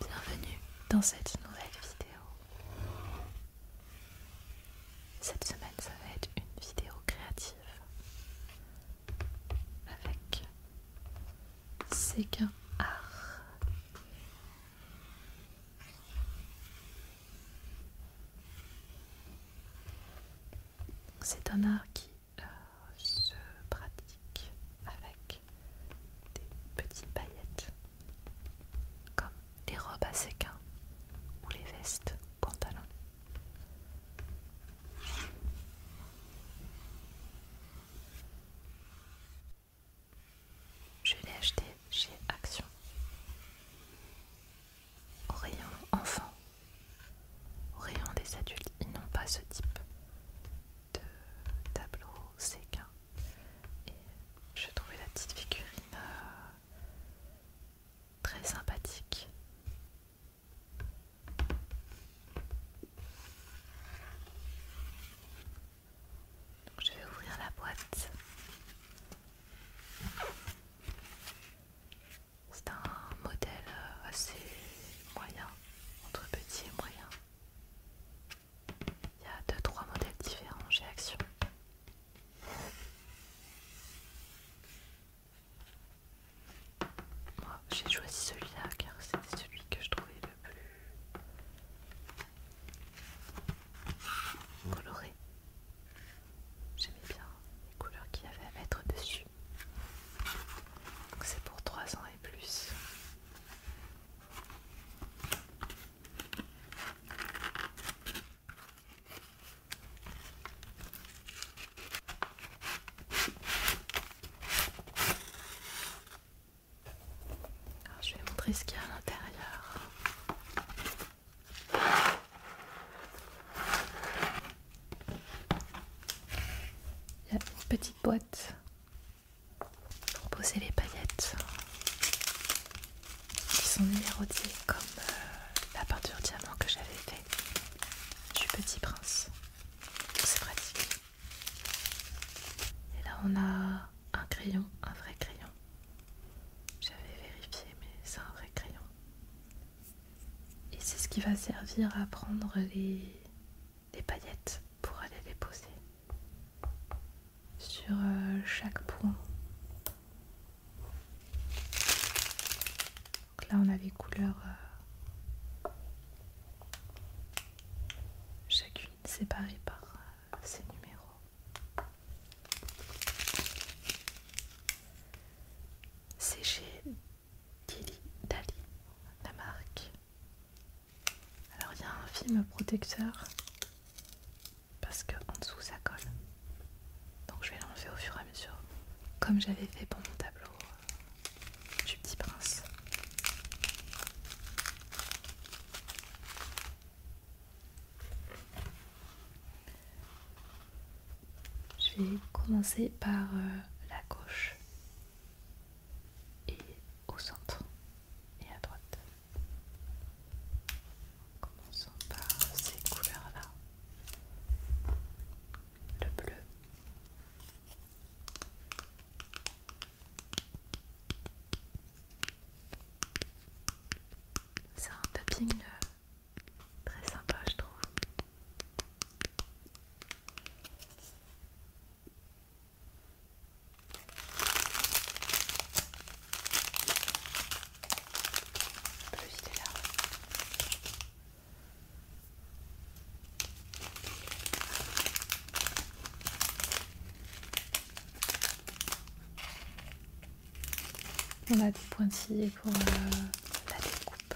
Bienvenue dans cette nouvelle vidéo. Cette semaine, ça va être une vidéo créative avec Séguin Art. C'est un art qui euh, se pratique avec des petites paillettes, comme les robes à séquins ou les vestes pantalons. Je l'ai acheté chez Action. Au rayon enfant, au rayon des adultes, ils n'ont pas ce type de tableau séquin. Et je trouvais la petite figurine euh, très sympathique. Donc, je vais ouvrir la boîte. C'est un modèle euh, assez moyen, entre petit et moyen. Il y a 2-3 modèles différents chez Action. Moi j'ai choisi celui-là car c'est celui que je trouvais le plus coloré. J'aimais bien les couleurs qu'il y avait à mettre dessus. C'est pour 3 ans et plus. je vais montrer ce qu'il y a à l'intérieur. Il y a une petite boîte pour poser les paillettes qui sont numérotées comme euh, la peinture diamant que j'avais fait du Petit Prince. C'est pratique. Et là on a un crayon, un vrai crayon. J'avais vérifié, mais c'est un vrai crayon. Et c'est ce qui va servir à prendre les, paillettes pour aller les poser sur euh, chaque point. Donc là, on a les couleurs euh, chacune séparée par euh, ces numéros. C'est chez Dili Dali, la marque. Alors il y a un film protecteur parce que en dessous ça colle. Donc je vais l'enlever au fur et à mesure, comme j'avais fait pour mon tableau euh, du petit prince. Je vais commencer par euh, la gauche et au centre et à droite. Commençons par ces couleurs-là. Le bleu. C'est un tapping euh, très sympa, je trouve. On a des pointillés pour euh, la découpe.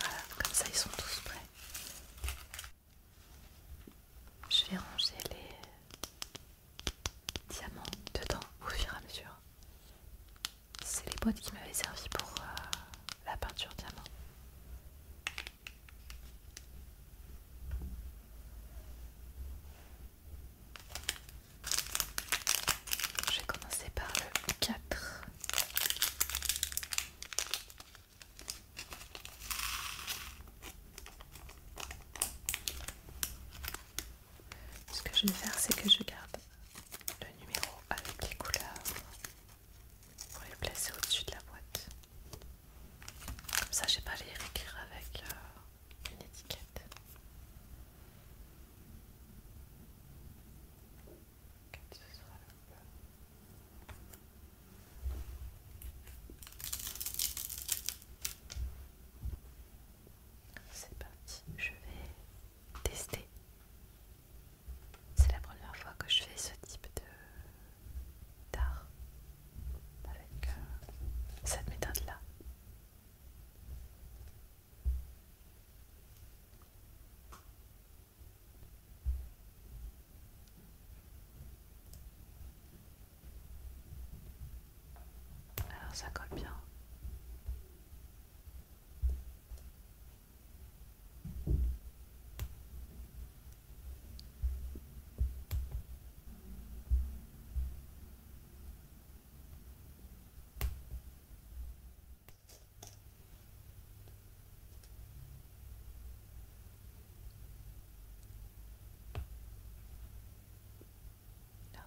Voilà, comme ça ils sont tous prêts. Je vais ranger les diamants dedans au fur et à mesure. C'est les boîtes qui m'avaient servi pour euh, la peinture diamant. Je vais commencer par le 4. Ce que je vais faire, c'est que je garde le numéro avec les couleurs pour les placer au-dessus de la boîte. Comme ça, je j'ai pas à les réécrire avec euh, une étiquette. le c'est parti, je vais tester. C'est la première fois que je fais ce type de d'art avec euh, cette méthode là. Alors ça colle bien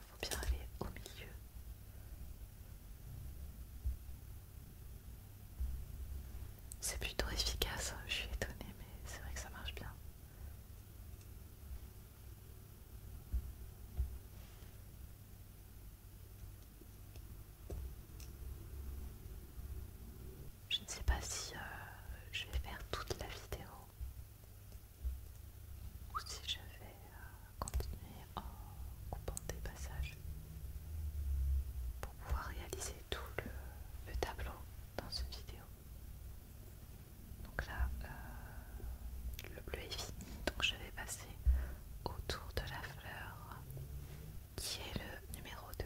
faut bien aller au milieu. C'est plutôt efficace, hein, je suis étonnée, mais c'est vrai que ça marche bien. Je ne sais pas si euh, je vais faire toute la vidéo ou si je vais euh, continuer en coupant des passages pour pouvoir réaliser tout le, tableau dans cette vidéo. Donc là, euh, le bleu est fini, donc je vais passer autour de la fleur qui est le numéro 2.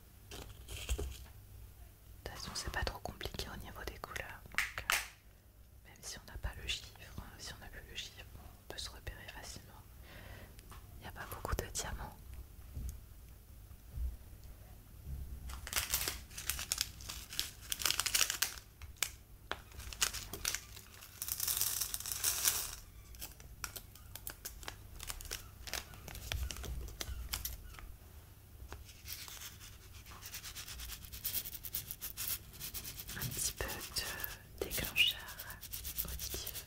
De toute façon, c'est pas trop compliqué au niveau des couleurs. Euh, même si on n'a pas le chiffre, hein, si on n'a plus le chiffre, on peut se repérer facilement. Il n'y a pas beaucoup de diamants. Un petit peu de déclencheur auditif.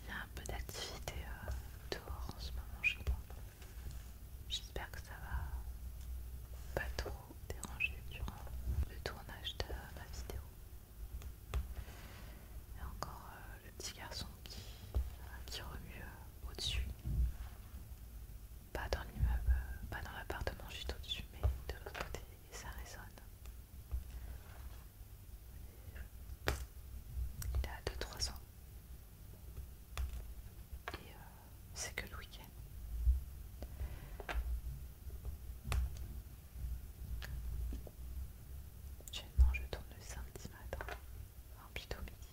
Il y a un peu d'activité euh, dehors en ce moment, je sais pas. J'espère que ça va pas trop déranger durant le tournage de ma vidéo. Il y a encore euh, le petit garçon qui, euh, remue euh, au-dessus. Pas dans l'immeuble, pas dans l'appartement juste au-dessus, mais de l'autre côté, et ça résonne. Il a 2-3 ans. Et c'est que le week-end. Non, je tourne le samedi matin, enfin plutôt midi.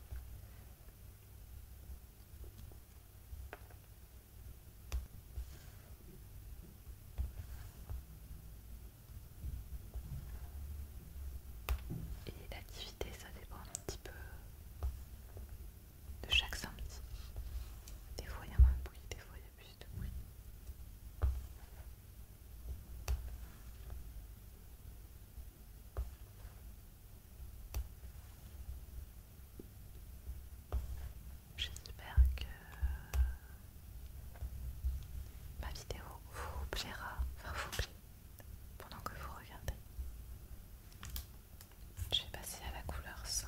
Et l'activité, ça dépend un petit peu de chaque samedi. Des fois il y a moins de bruit, des fois il y a plus de bruit. J'espère que ma vidéo vous plaira, enfin vous plaît, pendant que vous regardez. Je vais passer à la couleur 5.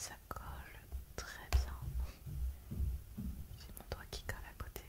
Ça colle très bien. c'est mon doigt qui colle à côté.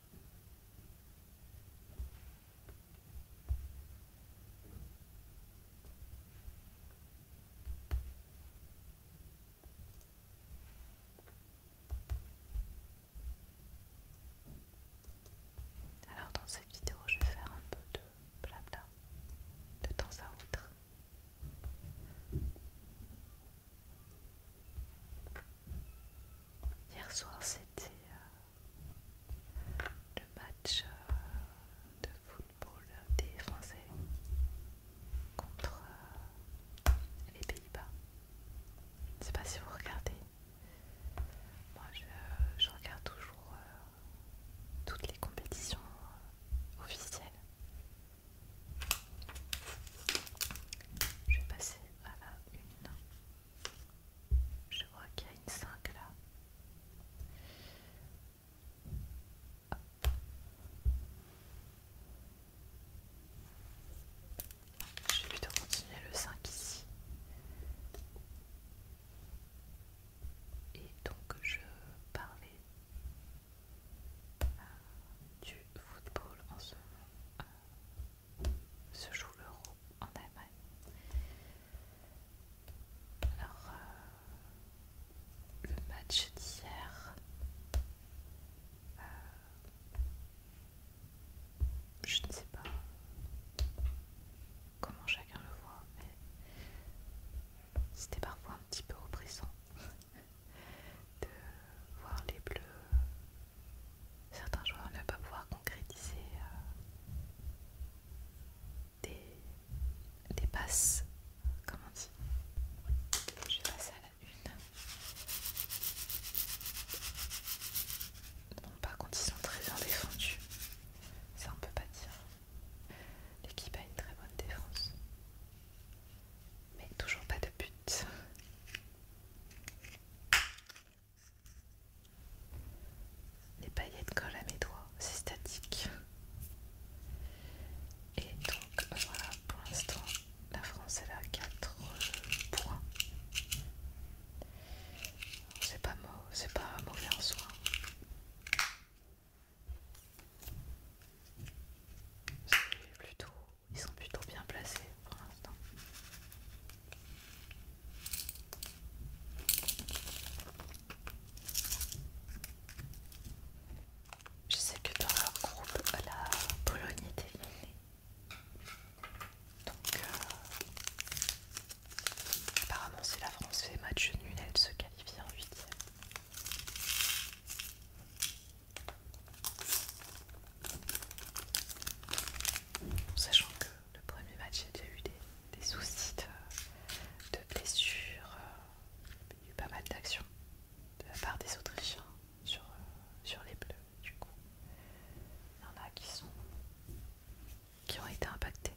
Alors dans cette vidéo, je vais faire un peu de blabla de temps à autre. Hier soir, c'était euh, le match euh, de football des Français contre euh, les Pays-Bas. Je ne sais pas si vous regardez. Moi, je, regarde toujours toutes les compétitions officielles. Je vais passer à une. Je vois qu'il y a une 5 là. Je vais plutôt continuer le 5 ici. Et donc je parlais euh, du football en ce moment. Euh, se joue l'euro en Allemagne. Alors, euh, le match d'hier, euh, je ne sais pas comment chacun le voit, mais c'était parfois un petit peu oppressant de voir les bleus certains joueurs ne pas pouvoir concrétiser euh, des, passes, comme on dit. Je vais passer à la une. par contre, ils sont très bien défendus. Ça, on peut pas dire. L'équipe a une très bonne défense. Mais toujours pas de but. Les paillettes collent à mes doigts, c'est statique. Et donc voilà, pour l'instant, la France elle a quatre points. C'est pas, pas mauvais en soi. C'est plutôt ils sont plutôt bien placés pour l'instant. Je sais que dans leur groupe, la Pologne est éliminée. Donc, euh, apparemment, si la France fait match nul, elle se qualifie en huitième. Sachant que le premier match, il y a eu des, soucis de, blessures, euh, il y a eu pas mal d'actions de la part des Autrichiens sur, euh, sur les Bleus. Du coup, il y en a qui, sont, qui ont été impactés,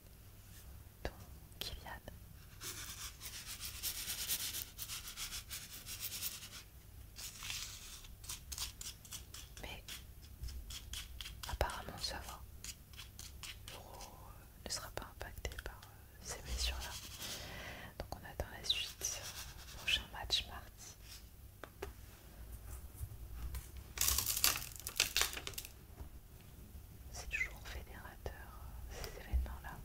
dont Kylian. Mais apparemment ça va. L'euro euh, ne sera pas impacté par euh, ces blessures-là. Donc on attend la suite. Euh, prochain match mardi. C'est toujours fédérateur ces événements-là.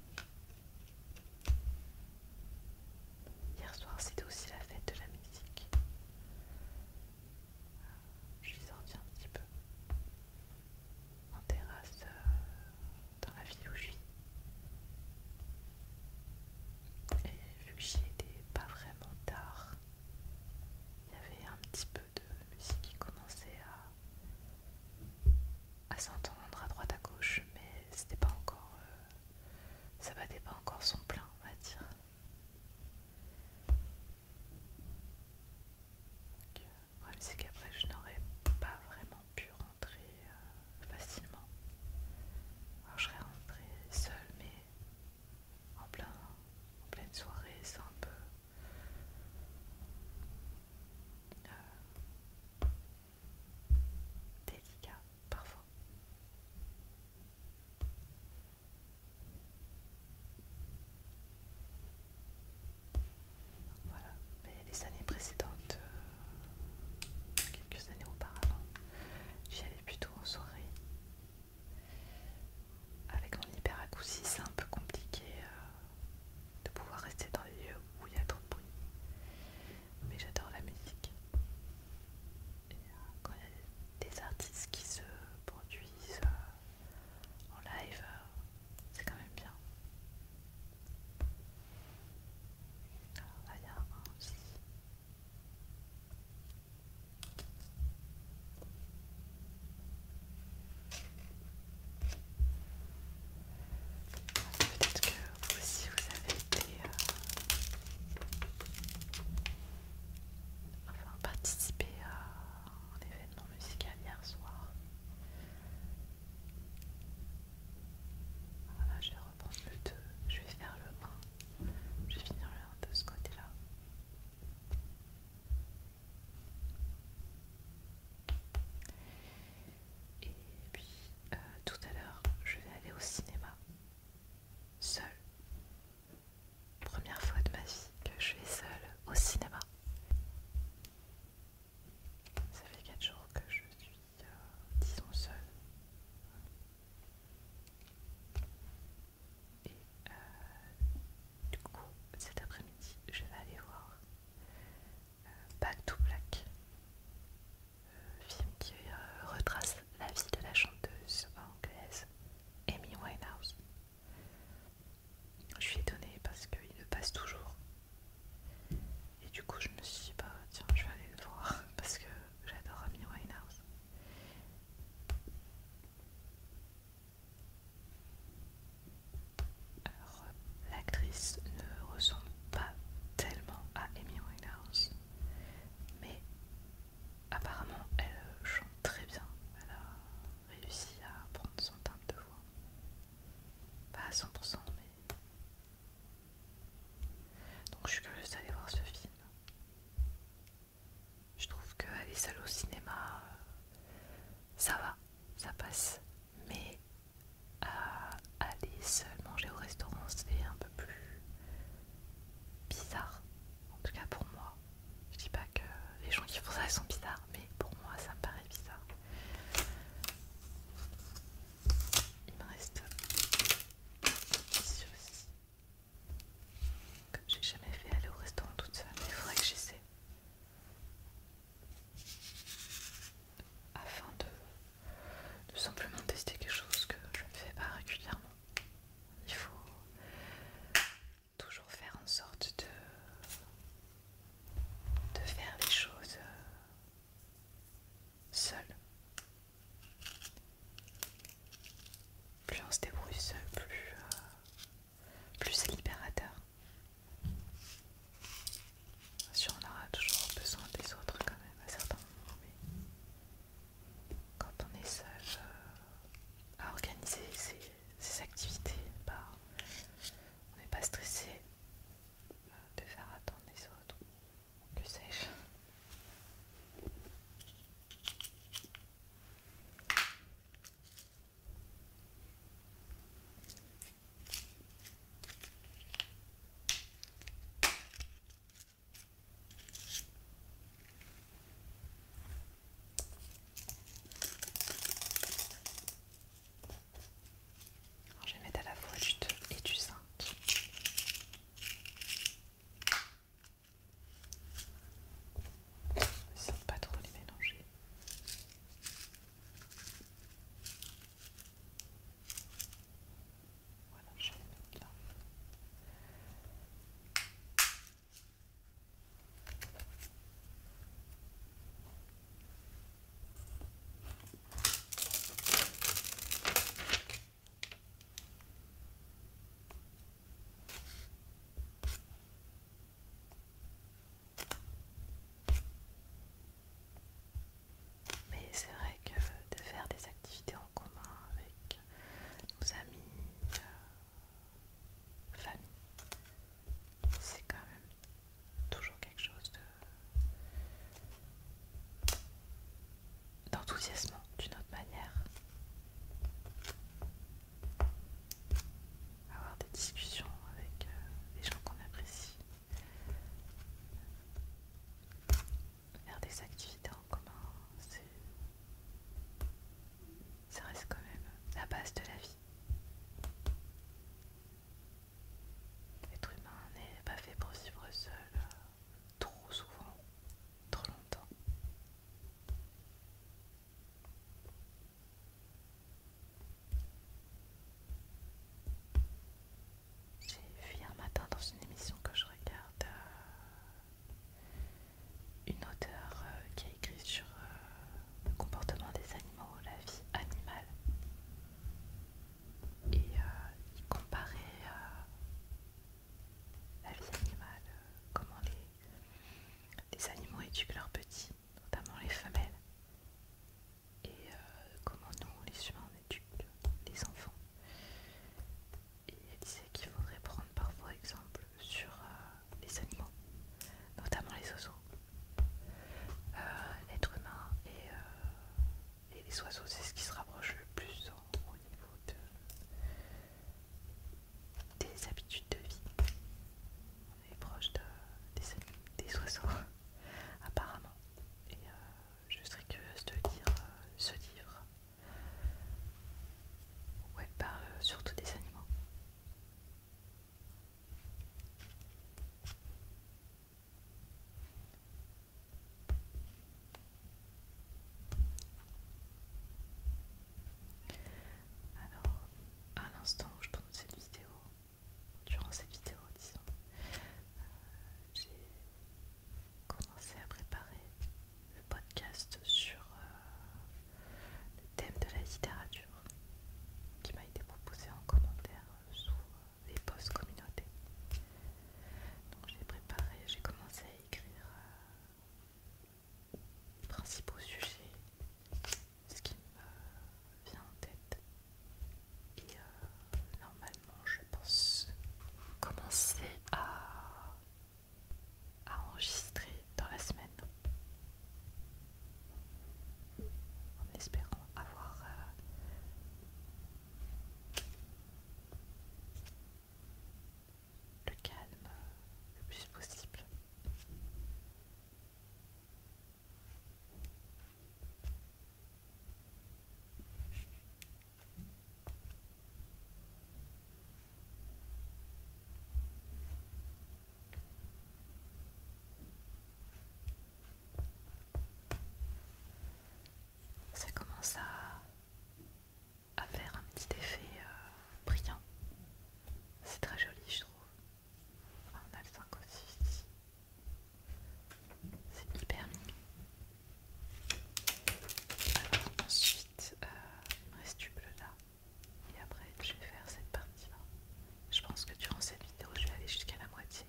Hier soir, c'était aussi la fête de la musique. Euh, je suis sortie un petit peu en terrasse euh, dans la ville où je vis Et vu que j'y étais pas vraiment tard, il y avait un petit peu de musique qui commençait à, à s'entendre à droite à gauche, mais c'était pas encore euh, ça battait pas encore son plein, on va dire. Euh, le problème, c'est qu'après, je n'aurais pas vraiment pu rentrer euh, facilement. Alors, je serais rentrée seule, mais en, plein, en pleine soirée, c'est un peu. Euh, délicat parfois. Voilà, mais les années précédentes, euh, quelques années auparavant, j'y allais plutôt en soirée. Avec mon hyperacousie, c'est un peu compliqué euh, de pouvoir rester dans les lieux où il y a trop de bruit mais j'adore la musique. Euh, quand il y a des artistes qui se produisent euh, en live, euh, c'est quand même bien. Ah, si vous avez été euh, participer à un événement musical hier soir. Voilà, je vais reprendre le 2, je vais faire le 1, je vais finir le 1 de ce côté-là. Et puis euh, tout à l'heure, je vais aller au cinéma seule. Première fois de ma vie que je suis seule au cinéma. Ça fait 4 jours que je suis, euh, disons, seule. Et euh, du coup, cet après-midi, je vais aller voir euh, Back to Black film qui euh, retrace la vie de la chanteuse anglaise Amy Winehouse. Je suis étonnée parce qu'il le passe toujours. Et du coup, je me suis dit, bah, tiens, je vais aller le voir parce que j'adore Amy Winehouse. Alors, l'actrice ne ressemble pas tellement à Amy Winehouse, mais Apparemment, elle euh, chante très bien. Elle a réussi à prendre son timbre de voix. Pas à 100%, mais. Donc, je suis curieuse d'aller voir ce film. Je trouve qu'aller seule au cinéma, euh, ça va, ça passe. Mais euh, aller seule manger au restaurant, c'est un peu plus bizarre, en tout cas pour moi. Je dis pas que les gens qui font ça sont bizarres, mais pour moi ça me paraît bizarre. Il me reste aussi. Comme j'ai jamais fait aller au restaurant toute seule, il faudrait que j'essaie. Afin de, de simplement tester quelque chose que je ne fais pas régulièrement. Il faut toujours faire en sorte de, de faire les choses seul. Plus on se débrouille seul, plus, euh, plus c'est libérateur. Bien sûr, on aura toujours besoin des autres quand même à certains moments, quand on est sage euh, à organiser ses, activités, bah, on n'est pas stressé euh, de faire attendre les autres, que sais alors, je vais mettre à la fois du 2 et du 5. Sans trop les mélanger. Voilà, je Mais c'est vrai que de faire des activités en commun avec nos amis, euh, famille. C'est quand même toujours quelque chose de d'enthousiasmant d'une autre manière. Avoir des discussions avec euh, des gens qu'on apprécie faire des activités en commun, ça reste quand même la base de la vie. L'être humain n'est pas fait pour vivre seul euh, trop souvent, trop longtemps. J'ai vu un matin dans une émission que je regarde euh, une auteure euh, qui a écrit sur euh, le comportement des animaux, la vie animale. Et qui euh, il comparait la vie animale, comment les, animaux éduquent leurs petits, notamment les femelles, et comment nous, les humains, on éduque les enfants il disait qu'il faudrait prendre parfois exemple sur euh, les animaux, notamment les oiseaux. Euh, l'être humain euh, et, les oiseaux, c'est ce qui se rapproche le plus au niveau des habitudes de vie. On est proche des, oiseaux, apparemment. Et je serais curieuse de lire ce livre Ouais, par euh, surtout des animaux. Alors, à l'instant où je tourne cette vidéo, durant cette vidéo, disons, euh, j'ai commencer à préparer le podcast sur euh, le thème de la littérature qui m'a été proposé en commentaire sous euh, les posts communautés Donc j'ai préparé, j'ai commencé à écrire les euh, principaux sujets, ce qui me vient en tête. Et normalement, je pense commencer à à enregistrer dans la semaine en espérant avoir euh, le calme euh, le plus possible. Ça commence à, faire un petit effet euh, brillant. C'est très joli, je trouve. on a le aussi C'est hyper mignon. Alors ensuite, euh, reste là. Et après, je vais faire cette partie-là. Je pense que durant cette vidéo, je vais aller jusqu'à la moitié.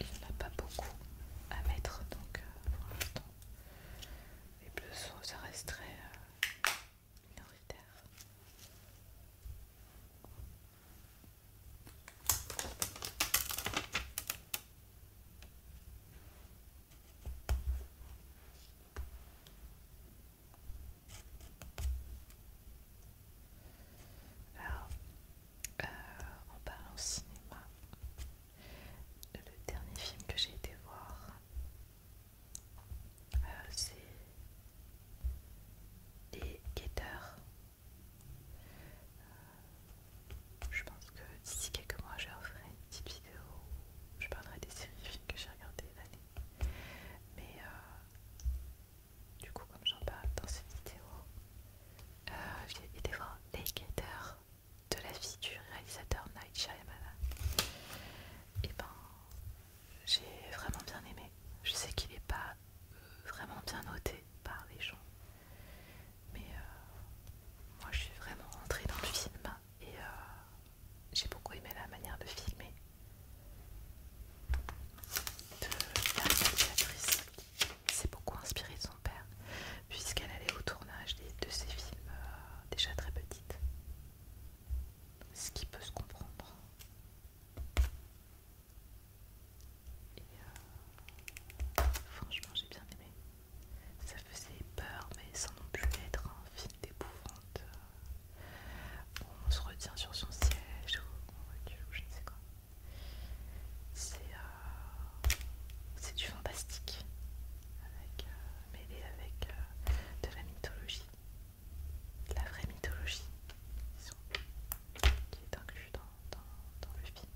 Il n'y en a pas beaucoup à mettre donc euh, pour l'instant. Les bleus sont, ça reste très euh, minoritaire. Alors, parle euh, en parlant cinéma, le dernier film que j'ai été voir, euh, c'est Les Guetteurs. Euh, je pense que d'ici quelques mois, je ferai une petite vidéo où je parlerai des séries films que j'ai regardées l'année. Mais du coup comme j'en parle dans cette vidéo, euh, j'ai été voir de la vie du réalisateur Night Shyamalan. Et eh ben j'ai vraiment bien aimé. Je sais qu'il n'est pas euh, vraiment bien noté par les gens. Mais euh, moi je suis vraiment rentrée dans le film et j'ai beaucoup aimé la manière de filmer de la réalisatrice c'est s'est beaucoup inspiré de son père, puisqu'elle allait au tournage de ses films euh, déjà très petite. Ce qui peut se comprendre. Et euh, franchement, j'ai bien aimé. Ça faisait peur, mais sans non plus être un film d'épouvante. Euh, on se retient sur son siège ou je ne sais quoi. Euh, c'est du fantastique, euh, mêlé avec euh, de la mythologie, de la vraie mythologie, qui est inclus dans, le film.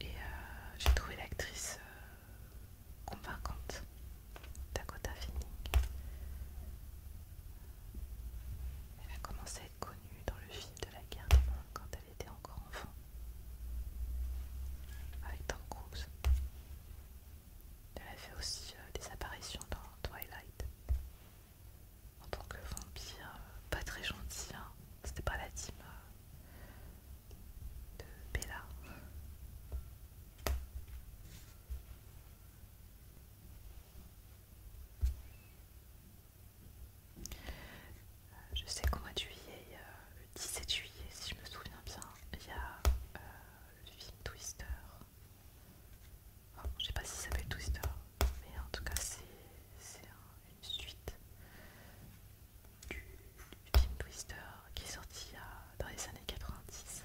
Et j'ai trouvé l'actrice convaincante, Dakota Fanning. Elle a commencé à être connue dans le film de la guerre des mondes quand elle était encore enfant, avec Tom Cruise. Elle a fait aussi euh, des apparitions dans Twilight en tant que vampire, euh, pas très gentil, hein. c'était pas la team euh, de Bella. Je sais qu'au mois de juillet, le 17 juillet, si je me souviens bien, il y a euh, le film Twister. Je je sais pas si ça s'appelle Twister, mais en tout cas, c'est une suite du, film Twister qui est sorti euh, dans les années 90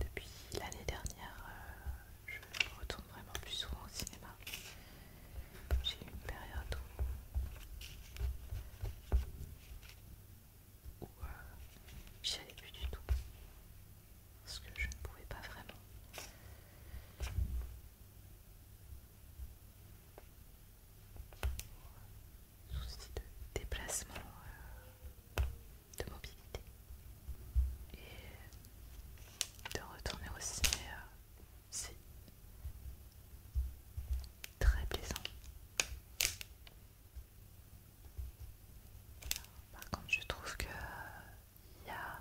Depuis l'année dernière, euh, je retourne vraiment plus souvent au cinéma. J'ai eu une période où, où euh, j'y allais plus du tout parce que je ne pouvais pas vraiment. Souci de déplacement, euh, de mobilité et de retourner au ciné euh, c'est très plaisant par contre je trouve que il euh, y a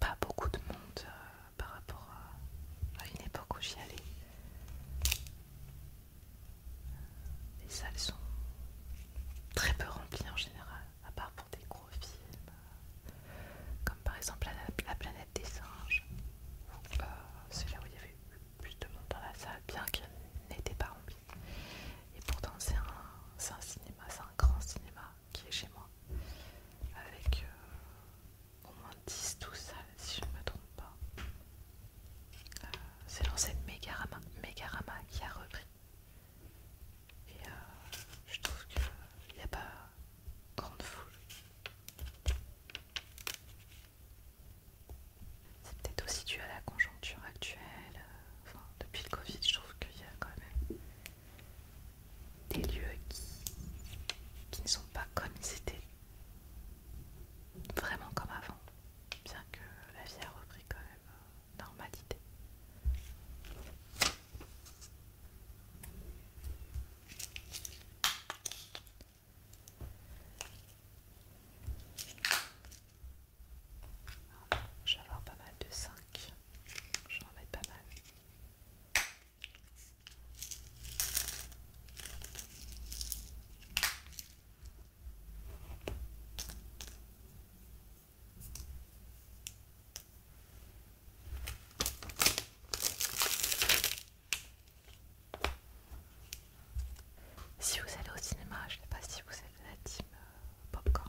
pas beaucoup de monde euh, par rapport à une époque où j'y allais les salles sont très peu remplies en général, à part pour des gros films, euh, comme par exemple La, planète des singes. Euh, c'est là où il y avait plus de monde dans la salle, bien qu'elle n'était pas remplie. Et pourtant, c'est un, cinéma, c'est un grand cinéma qui est chez moi, avec euh, au moins 10-12 salles, si je ne me trompe pas. c'est l'ancienne Megarama, Megarama qui a repris et euh, je trouve qu'il n'y a pas grande foule. C'est peut-être aussi dû à la conjoncture actuelle. Euh, enfin, depuis le Covid, je trouve qu'il y a quand même des lieux qui, qui ne sont pas comme ils étaient. Vraiment comme avant. Bien que la vie a repris quand même euh, normalité. Je vais pas mal de 5. j'en pas mal. Si vous allez au cinéma, je ne sais pas si vous êtes la team euh, popcorn.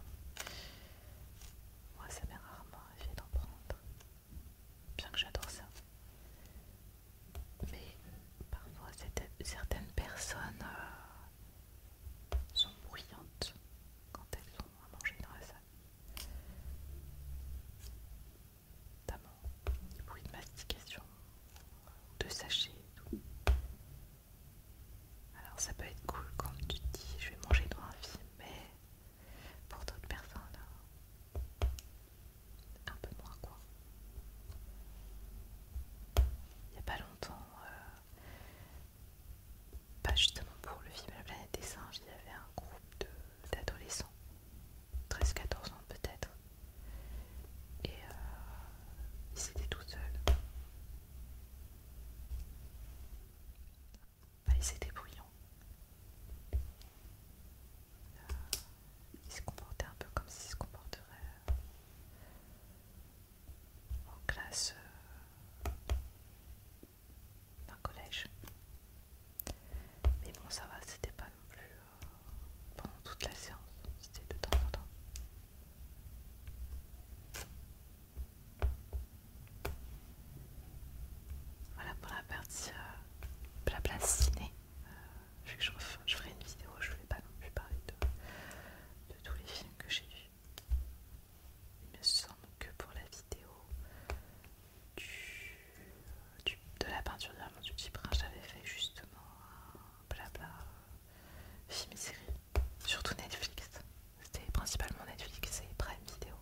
Moi, ça m'est rarement arrivé d'en prendre, bien que j'adore ça. Mais parfois, certaines personnes euh, sont bruyantes quand elles sont à manger dans la salle. Notamment du bruit de mastication, de sachets et tout. Alors ça peut être cool quand tu te dis je vais manger dans un film, mais pour d'autres personnes, un peu moins quoi. Il n'y a pas longtemps, euh, pas bah, justement pour le film La planète des singes, il y avait un groupe d'adolescents, 13-14 ans peut-être, et euh, ils étaient tout seuls. Bah, ils étaient bruyants. ils se comportaient un peu comme s'ils se comporteraient euh, en classe euh, d'un collège. Mais bon, ça va, c'était pas non plus euh, pendant toute la séance, c'était de temps en temps. Voilà pour la partie euh, la place ciné. je, ferai une vidéo, je ne vais pas non plus parler de, de tous les films que j'ai vus il me semble que pour la vidéo de la peinture diamant du bras j'avais fait justement un blabla euh, film et série, surtout Netflix. C'était principalement Netflix et Prime Vidéo.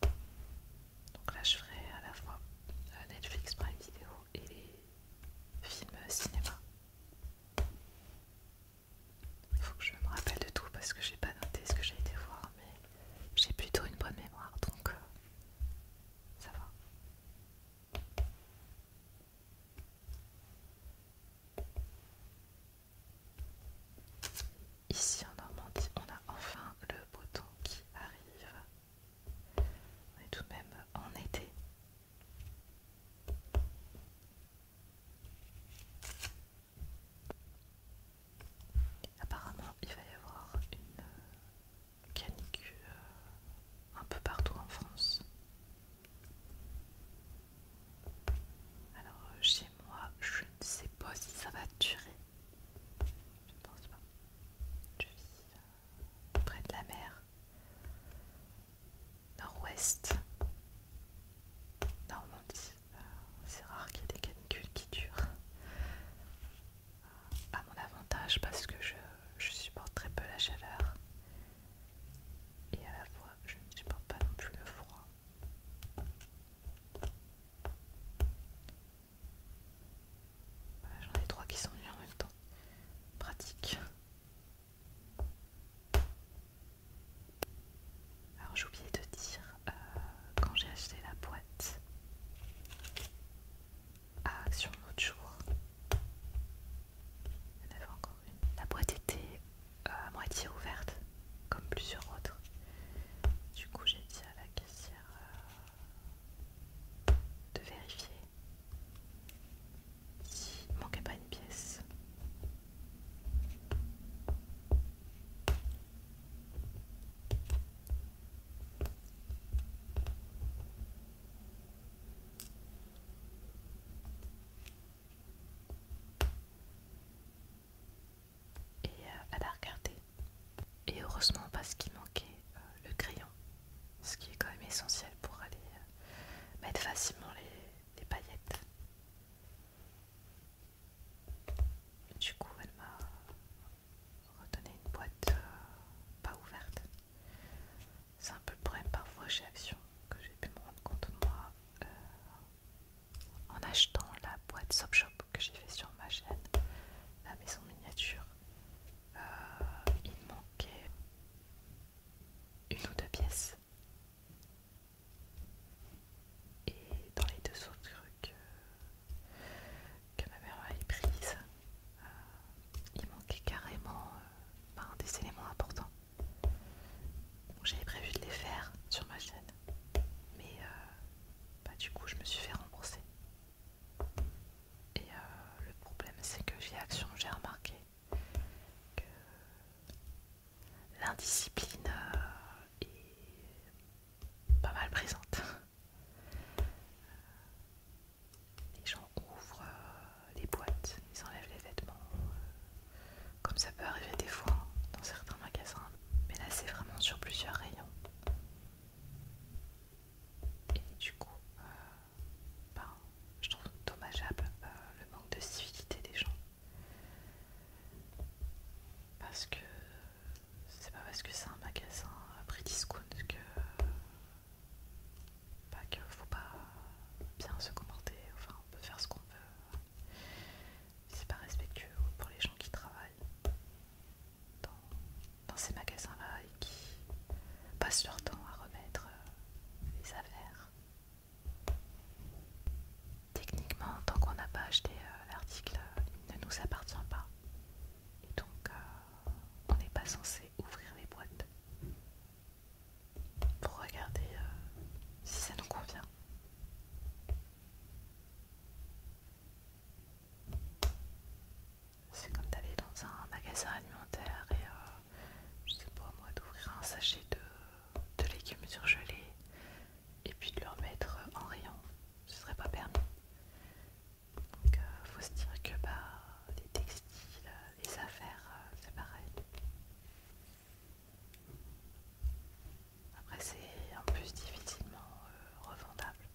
Donc là, je ferai à la fois euh, Netflix, Prime Vidéo et les films cinéma. Il Faut que je me rappelle de tout parce que j'ai pas noté ce que j'ai été voir, mais j'ai plutôt une bonne mémoire donc euh, ça va. Ici en Normandie, on a enfin le beau temps qui arrive. On est tout de même en été. Apparemment, il va y avoir une euh, canicule euh, un peu partout en France. Alors, euh, chez moi, je ne sais pas si ça va durer. Je ne pense pas. Je vis près de la mer nord-ouest, Normandie. Euh, c'est rare qu'il y ait des canicules qui durent. Euh, à mon avantage parce que je, supporte très peu la chaleur et à la fois je ne supporte pas non plus le froid. J'en ai trois qui sont nus en même temps. Pratique. Alors j'ai oublié de dire, euh, quand j'ai acheté la boîte à ah, Action l'autre jour, La boîte était euh, à moitié ouverte, comme plusieurs autres. Du coup j'ai dit à la caissière euh, de vérifier il manquait pas une pièce. Et elle euh, a regardé. Et heureusement parce qu'il manquait euh, le crayon, ce qui est quand même essentiel pour aller euh, mettre facilement les, des paillettes. Du coup, elle m'a redonné une boîte euh, pas ouverte. C'est un peu le problème parfois chez Action que j'ai pu me rendre compte moi euh, en achetant la boîte Soap Shop que j'ai fait sur ma chaîne, la maison miniature. Euh, il manquait une ou deux pièces et dans les deux autres trucs que euh, ma mère avait prises, euh, il manquait carrément euh, ben, des éléments importants. J'avais prévu de les faire sur ma chaîne, mais bah, du coup je me suis fait rembourser. Et le problème c'est que j'ai Action j'ai remarqué que l'indiscipline euh, est pas mal présente. Euh, les gens ouvrent euh, les boîtes, ils enlèvent les vêtements, comme ça peut arriver des fois hein, dans certains magasins, mais là c'est vraiment sur plusieurs rayons. Et du coup, ben, je trouve dommageable euh, le manque de civilité des gens. Parce que c'est pas parce que c'est un magasin euh, prix discount que pas bah, qu'il faut pas bien se comporter, enfin on peut faire ce qu'on veut. C'est pas respectueux pour les gens qui travaillent dans ces magasins-là et qui passent leur temps à remettre euh, les affaires Techniquement, tant qu'on n'a pas acheté euh, l'article, euh, il ne nous appartient pas. Et donc, euh, on n'est pas censé ouvrir les boîtes pour regarder si ça nous convient. C'est comme d'aller dans un magasin alimentaire et, c'est je sais pas moi, d'ouvrir un sachet de de légumes surgelés et puis de le remettre en rayon, ce serait pas permis. Donc euh, faut se dire que bah, les textiles, euh, les affaires, euh, c'est pareil. Après c'est en plus difficilement revendable.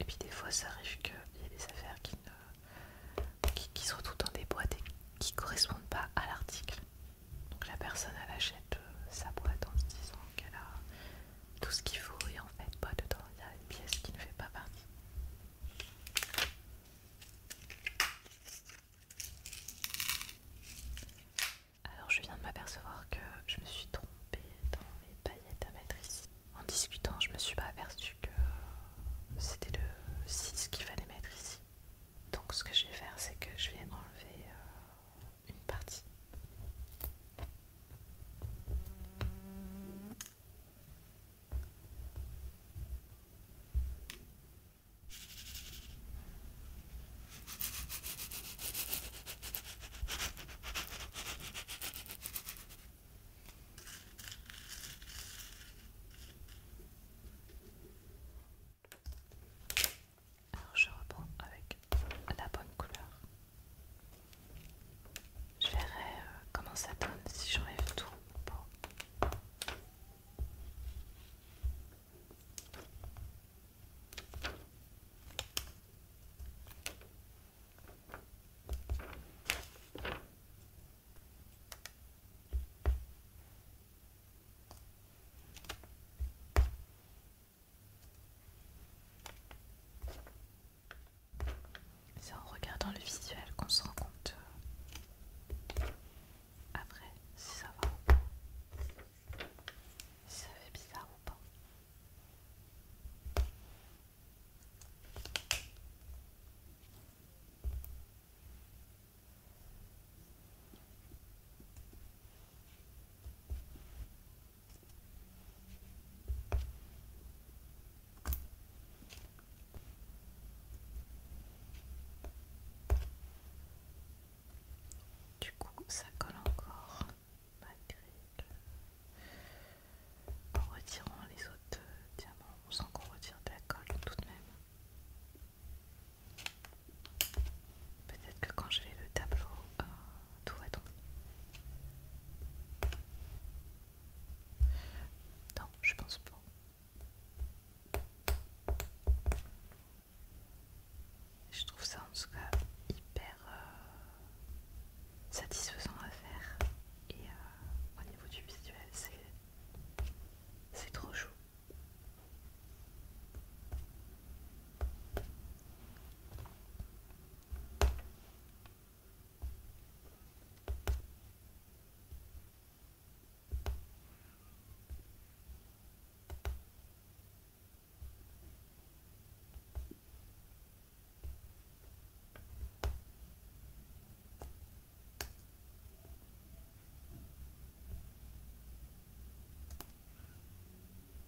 Et puis des fois ça arrive qu'il y ait des affaires qui euh, qui, sont toutes dans des boîtes et qui ne correspondent pas à l'article. Donc la personne elle achète euh, sa boîte en se disant qu'elle a tout ce qu'il faut et en fait pas dedans il y a une pièce qui ne fait pas partie. Alors je viens de m'apercevoir que je me suis trompée dans les paillettes à mettre ici en discutant, je me suis pas aperçue que c'était le 6 qu'il fallait mettre ici. Donc ce que je vais faire, c'est que je vais enlever euh, une partie. Alors je reprends avec la bonne couleur. Je verrai euh, comment ça donne si j'enlève tout. C'est en regardant le visuel qu'on se rend compte euh, après si ça va ou pas, si ça fait bizarre ou pas. Du coup, ça colle encore malgré en retirant les autres euh, diamants sans qu'on retire de la colle tout de même. Peut-être que quand je vais le tableau, euh, tout va tomber. Non, je pense pas. Je trouve ça en tout cas hyper euh, satisfaisant à faire et euh, au niveau du visuel c'est trop chaud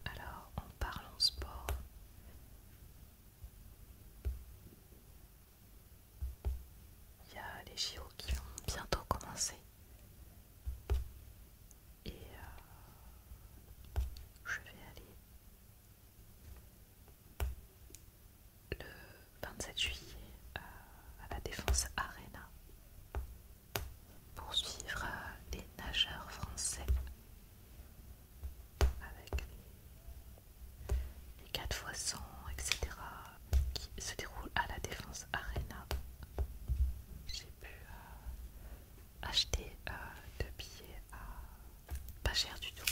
alors, on parle en sport. Il y a les JO qui vont bientôt commencer. Et euh, je vais aller le 27 juillet euh, à la Défense Arena pour suivre euh, les nageurs français avec les 4 fois 100, etc. qui se déroulent à la Défense Arena. J'ai pu euh, acheter deux billets à pas cher du tout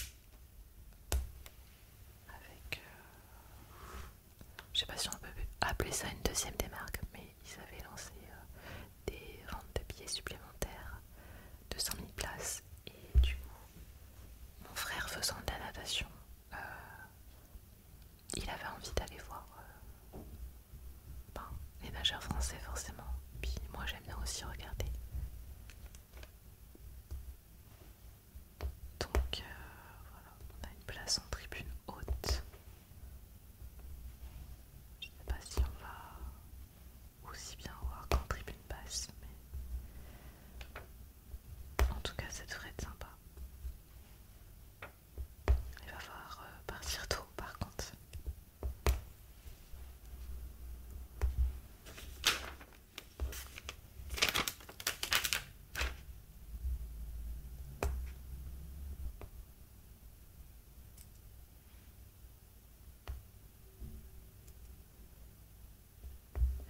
avec euh, je sais pas si on peut appeler ça une deuxième démarque, mais ils avaient lancé euh, des ventes de billets supplémentaires de 100 000 places et du coup mon frère faisant de la natation euh, il avait envie d'aller voir ben, les nageurs français forcément puis moi j'aime bien aussi regarder donc euh, voilà, on a une place en tribune haute. Je ne sais pas si on va aussi bien voir qu'en tribune basse, mais en tout cas ça devrait être sympa. Il va falloir euh, partir tôt par contre.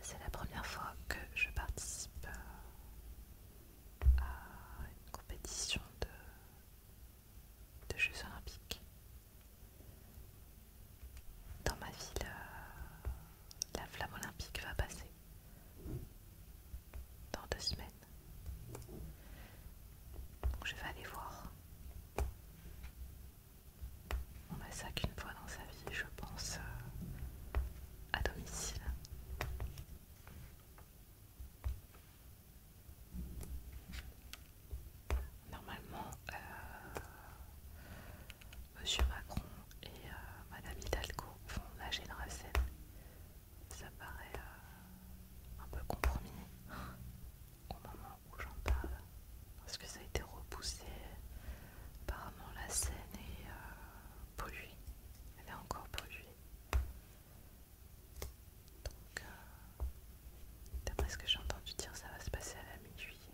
C'est la première fois que je participe à une compétition de, Jeux olympiques. Dans ma ville, la flamme olympique va passer dans deux semaines. je vais aller voir. On a ça qu'une fois dans sa vie, je pense, euh, à domicile. Normalement, euh, Monsieur Macron et euh, Madame Hidalgo font la scène Ça paraît euh, un peu compromis au moment où j'en parle. Parce que ça a été repoussé. Apparemment la scène est euh, polluée. Elle est encore polluée. Donc, d'après ce que j'ai entendu dire, ça va se passer à la mi-juillet.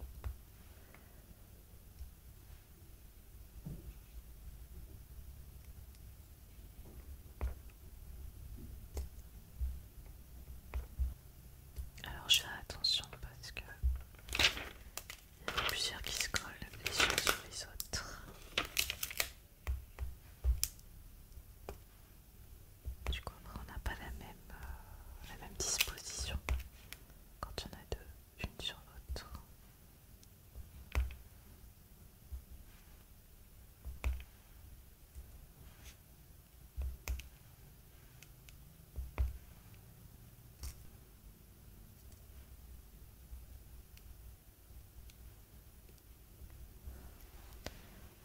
Alors je fais attention parce que y plusieurs qui se collent les uns sur les autres. Du coup, on n'a pas même, euh, la même disposition quand il y en a deux, une sur l'autre.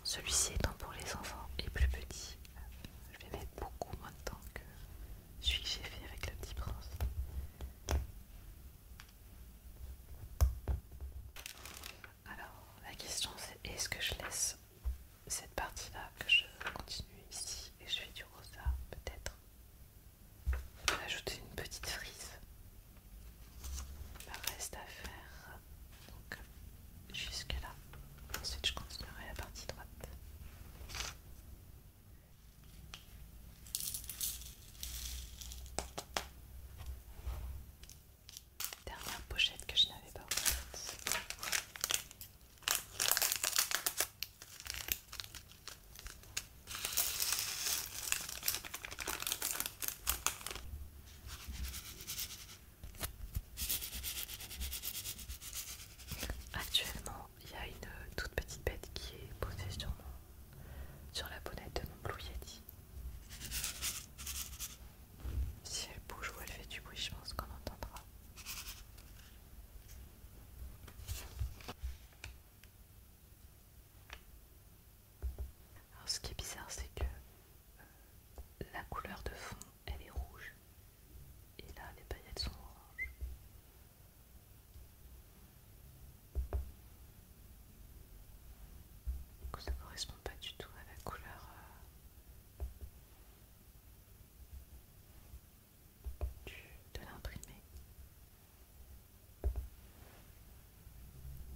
Celui-ci étant pour les enfants et plus petits je vais mettre beaucoup moins de temps que celui que j'ai fait avec le petit prince. Alors, la question c'est est-ce que je laisse cette partie-là, que je continue ici et je fais du rosa, peut-être Je vais ajouter une petite frise. Il reste à faire donc jusqu'à là. Ensuite, je continuerai la partie droite. Dernière pochette que je n'avais pas ouverte. Actuellement, il y a une toute petite bête qui est posée sur, sur la bonnette de mon Blue Yeti. Si elle bouge ou elle fait du bruit, je pense qu'on entendra. Alors, ce qui est bizarre, c'est que euh, la couleur de fond elle est rouge. Et là, les paillettes sont oranges. ça correspond pas du tout à la couleur euh, de l'imprimer.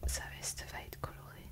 Sa veste va être colorée.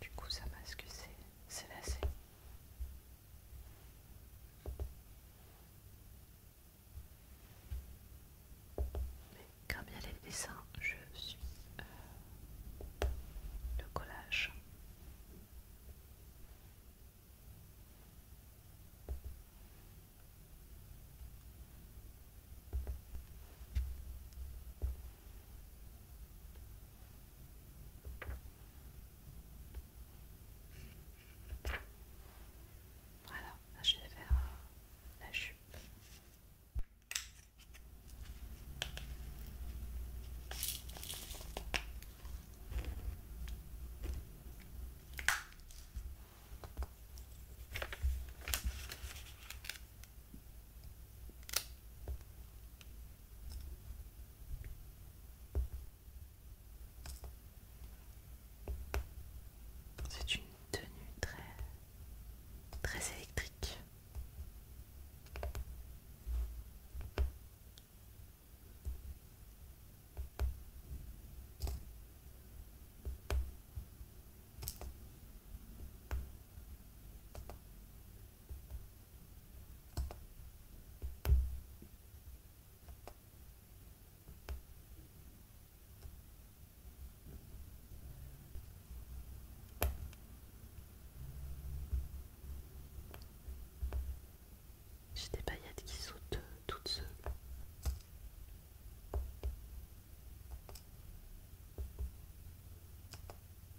Du coup, ça masque c'est lacé. Mais quand il y a les dessins, je suis euh, le collage. Voilà, là je vais faire euh, la jupe. C'est une tenue très très électrique. J'ai des paillettes qui sautent euh, toutes seules.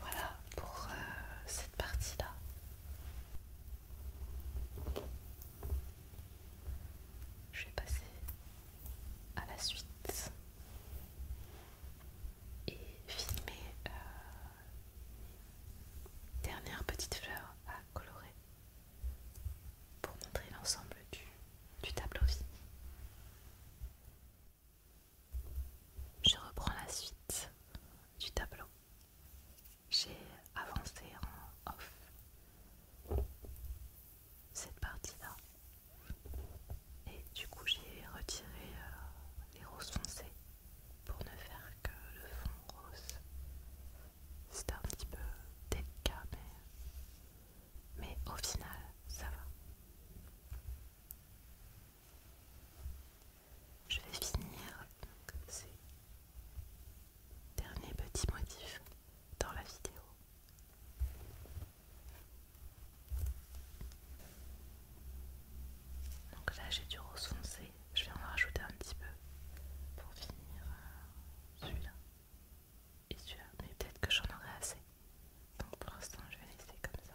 Voilà pour euh, cette partie-là. Je vais passer à la suite et filmer euh, dernière petite fleur à colorer pour montrer l'ensemble du, tableau Je reprends la suite du tableau. J'ai avancé en off cette partie-là et du coup, j'ai retiré euh, les roses foncées pour ne faire que le fond rose. C'est un petit peu délicat, mais, au final, ça va. Je vais finir donc, ces derniers petits motifs dans la vidéo donc là j'ai du rose foncé, je vais en rajouter un petit peu pour finir euh, celui-là et celui-là, mais peut-être que j'en aurai assez. Donc pour l'instant je vais laisser comme ça.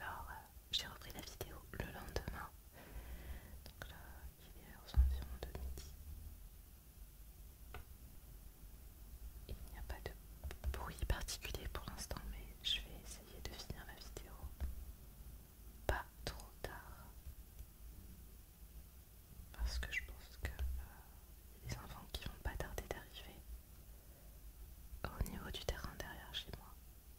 Alors, euh, j'ai repris la vidéo le lendemain. Donc là, il est environ 2 de midi. Il n'y a pas de bruit particulier pour l'instant, mais je vais essayer de finir la vidéo pas trop tard. Parce que je pense que a euh, des enfants qui vont pas tarder d'arriver au niveau du terrain derrière chez moi.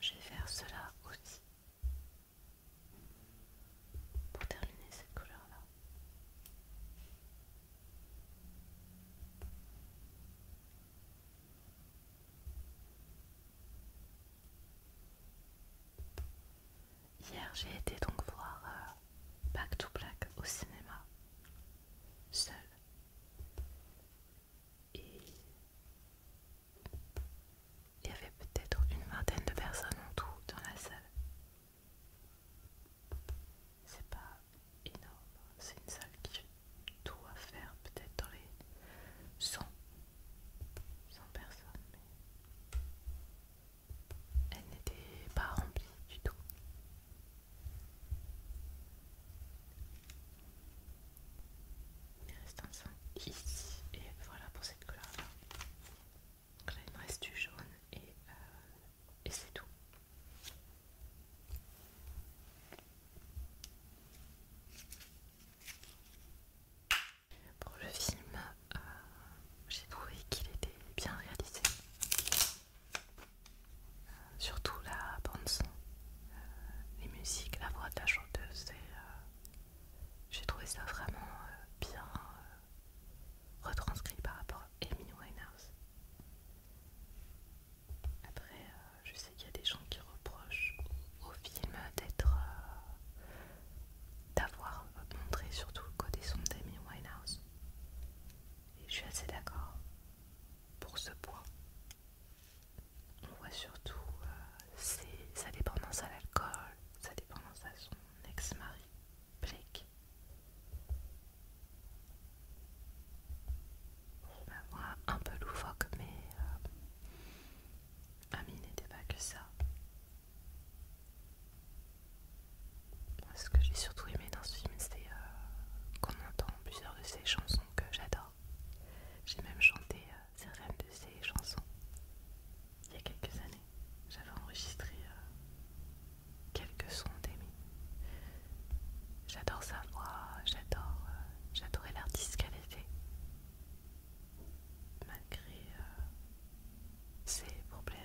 Je vais faire cela aussi pour terminer cette couleur-là. Hier, j'ai été donc voir euh, Back to Black au cinéma, seul. Et il y avait peut-être une vingtaine de personnes en tout dans la salle. C'est pas énorme, hein. c'est une salle qui doit faire peut-être dans les 100, 100 personnes, mais elle n'était pas remplie du tout. Il reste un ici et voilà pour cette couleur là. Donc là il me reste du jaune et, euh, et c'est tout. Pour le film, euh, j'ai trouvé qu'il était bien réalisé. Euh, surtout la bande son, euh, les musiques, la voix de la chanteuse, euh, j'ai trouvé ça vraiment bien retranscrit par rapport à Amy Winehouse. Après, je sais qu'il y a des gens qui reprochent au film d'être, d'avoir montré surtout le côté son d'Amy Winehouse, et je suis assez d'accord pour ce point on voit surtout euh, sa dépendance à l'alcool, sa dépendance à son ex-mari, Blake. voit ben, un peu loufoque, mais euh, n'était pas que ça. Ce que j'ai surtout aimé dans ce film, c'est euh, qu'on entend plusieurs de ses chansons donc j'adore. J'ai même chanté euh, certaines de ses chansons il y a quelques années. J'avais enregistré euh, quelques sons d'Amy. J'adore sa voix, j'adore, euh, j'adorais l'artiste qu'elle était. Malgré ses problèmes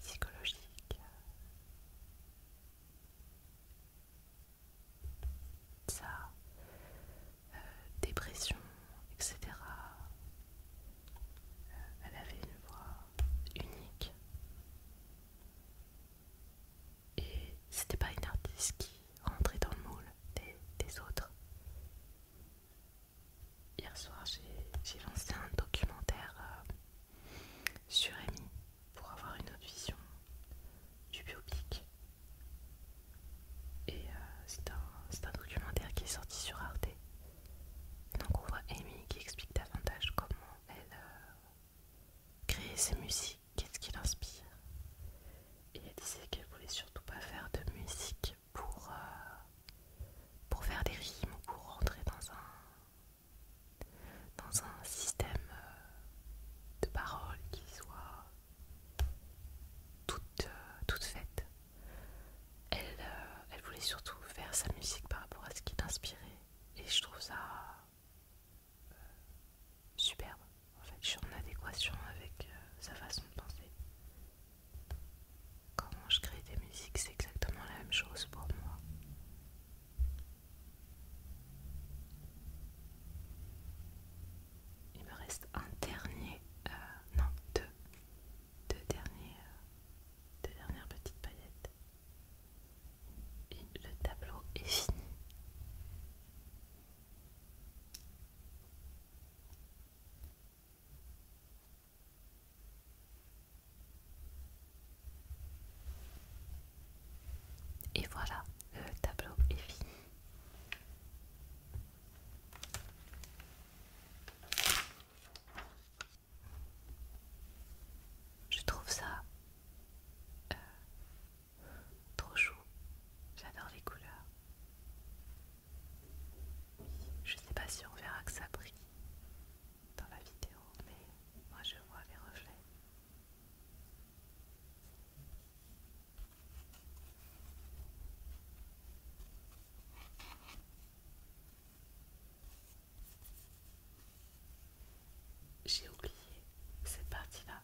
psychologique. Ça, euh, dépression, etc. Euh, elle avait une voix unique. Et c'était pas une artiste qui rentrait dans le moule des, autres. Hier soir, j'ai lancé un documentaire euh, sur Amy pour avoir une autre vision du biopic. Et euh, c'est un, documentaire qui est sorti sur Arte. Donc on voit Amy qui explique davantage comment elle euh, crée ses musiques, qu'est-ce qui l'inspire. Et elle disait qu'elle voulait surtout pas faire de musique pour, euh, pour faire des rimes ou pour rentrer dans un dans un système euh, de paroles qui soit toute, euh, faite. Euh, elle, voulait surtout faire sa musique par rapport à ce qui l'inspirait et je trouve ça superbe. En fait, je suis en adéquation avec sa façon de penser comment je crée des musiques, c'est exactement la même chose pour moi. Il me reste un dernier, euh, non deux, deux derniers, euh, deux dernières petites paillettes. Et le tableau est fini. Et voilà, le tableau est fini. Je trouve ça euh, trop chou. J'adore les couleurs. Je sais pas si on verra que ça brille dans la vidéo, mais moi je vois les reflets. J'ai oublié cette partie-là.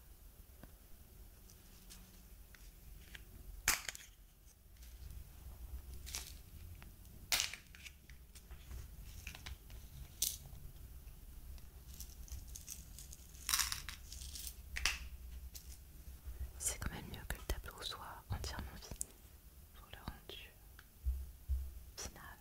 C'est quand même mieux que le tableau soit entièrement fini pour le rendu final.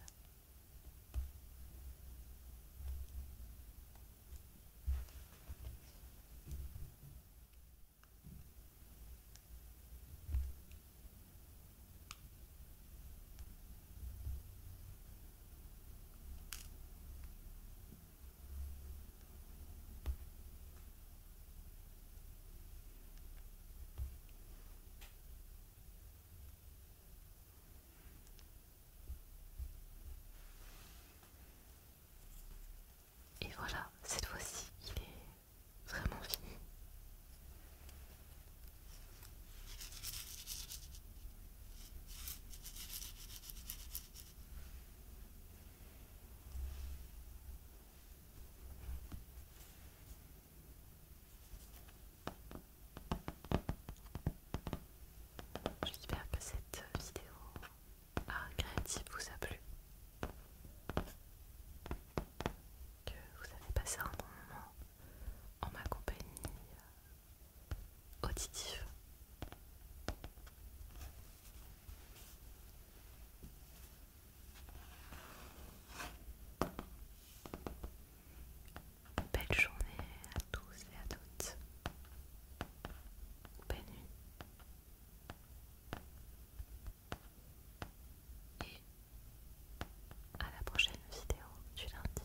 Et voilà, cette fois-ci, il est vraiment fini. J'espère que cette vidéo créative vous a plu que vous avez passé un bon moment en ma compagnie euh, auditive. Belle journée à tous et à toutes. Belle nuit et à la prochaine vidéo du lundi.